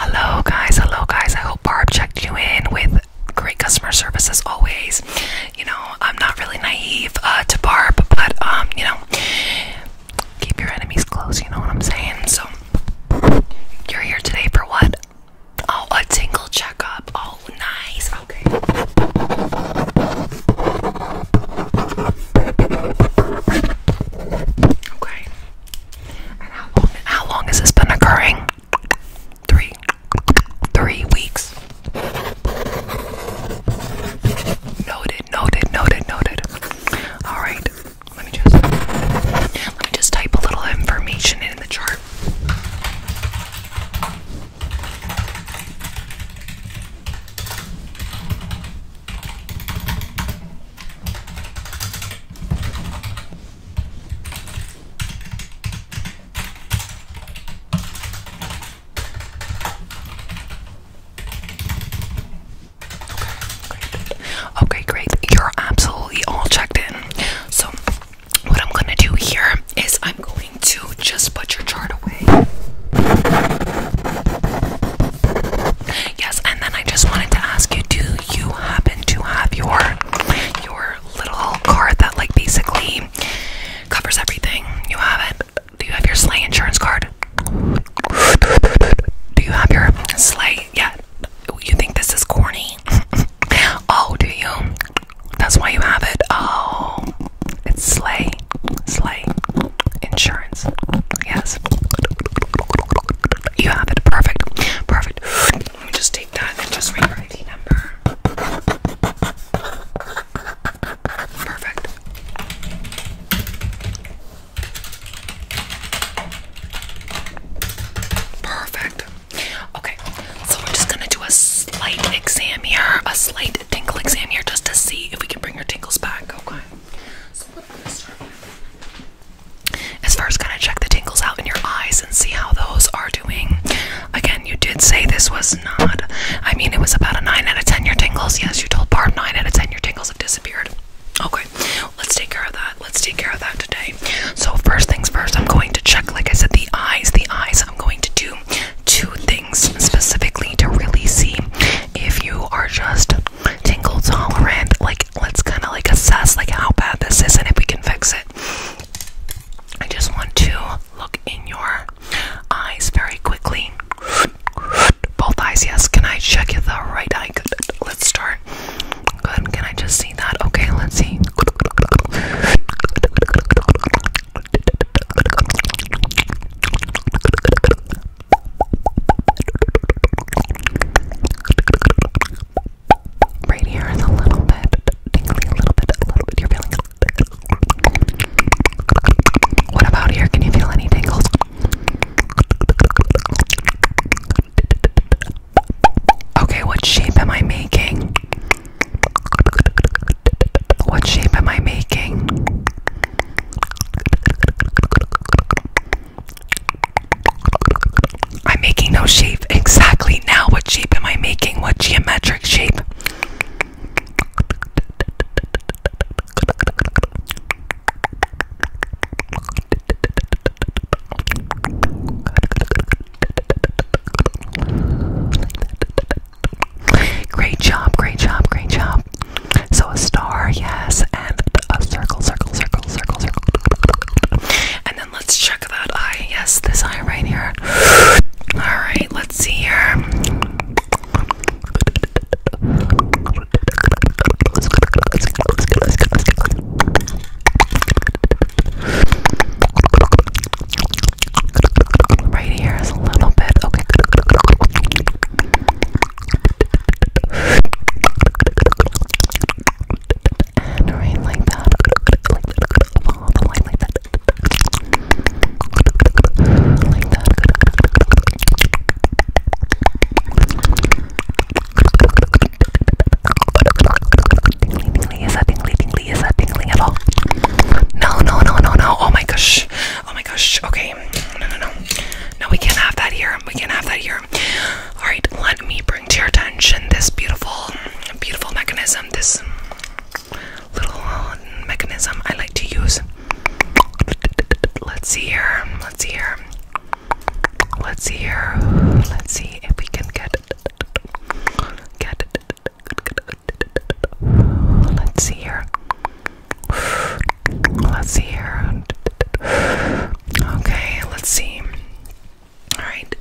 Hello, guys. Hello, guys. I hope Barb checked you in with great customer service as always. You know, I'm not really naive uh, to Barb, but um, you know, keep your enemies close. You know what I'm saying? So you're here today for what? Oh, a tingle checkup. Oh, nice. Okay. Okay how long, has this been occurring? Three, three weeks. Noted, noted, noted, noted. All right, let me just let me just type a little information in the chart. Okay, great. You're absolutely all checked in. So, what I'm gonna do here is I'm going to just put your chart away. Yes, and then I just wanted to ask you, do you happen to have your your little card that like basically covers everything? You have it? Do you have your sleigh insurance card? Do you have your sleigh yet? Yeah. You think this is corny? oh, do you? That's why you have it. Oh, it's Slay. Slay. Insurance. Yes. You have it. Perfect. Perfect. Let me just take that and just read your ID number. Perfect. Perfect. Okay, so we're just gonna do a slight exam here, a slight tingle exam here, just to see if we can bring your tingles back. Okay, so what I'm gonna start with is first gonna check the tingles out in your eyes and see how those are doing. Again, you did say this was not. I mean, it was about a nine out of ten. Your tingles, yes, you told Barb nine out of ten. Your tingles have disappeared. Okay, let's take care of that. Let's take care of that today so first things first, I'm going to check, like I said, the eyes. The eyes, I'm going to do two things specifically to really see if you are just tingle tolerant. Like, let's kind of like assess like how bad this is and if we can fix it. I just want to look in your eyes very quickly. Both eyes, yes. Can I check the right eye? Let's start. Can I just see that? Okay, let's see. Right here is a little bit tingly, a little bit, a little bit. You're feeling What about here? Can you feel any tingles? Okay, what shape am I making? What shape am I making? I'm making no shape exactly now. What shape am I making? What geometric shape? Great job, great job, great job. So a star, yes, and a circle, circle, circle, circle, circle. And then let's check that eye. Yes, this eye right here. Alright, let's see here. Right here is a little bit okay. And right like that, like that, follow the line like that, like that. Tingly, tingly, is that tingly, tingly, is that tingling at all? No, no, no, no, no. Oh my gosh. Oh my gosh. Okay. No, no, no. No, we can't have that here. We can't have that here. Alright, let me bring to your attention this beautiful, beautiful mechanism. This little mechanism I like to use. Let's see here. Let's see here. Let's see here. Let's see if we can get get. Let's see here. Let's see here. Okay, let's see. All right.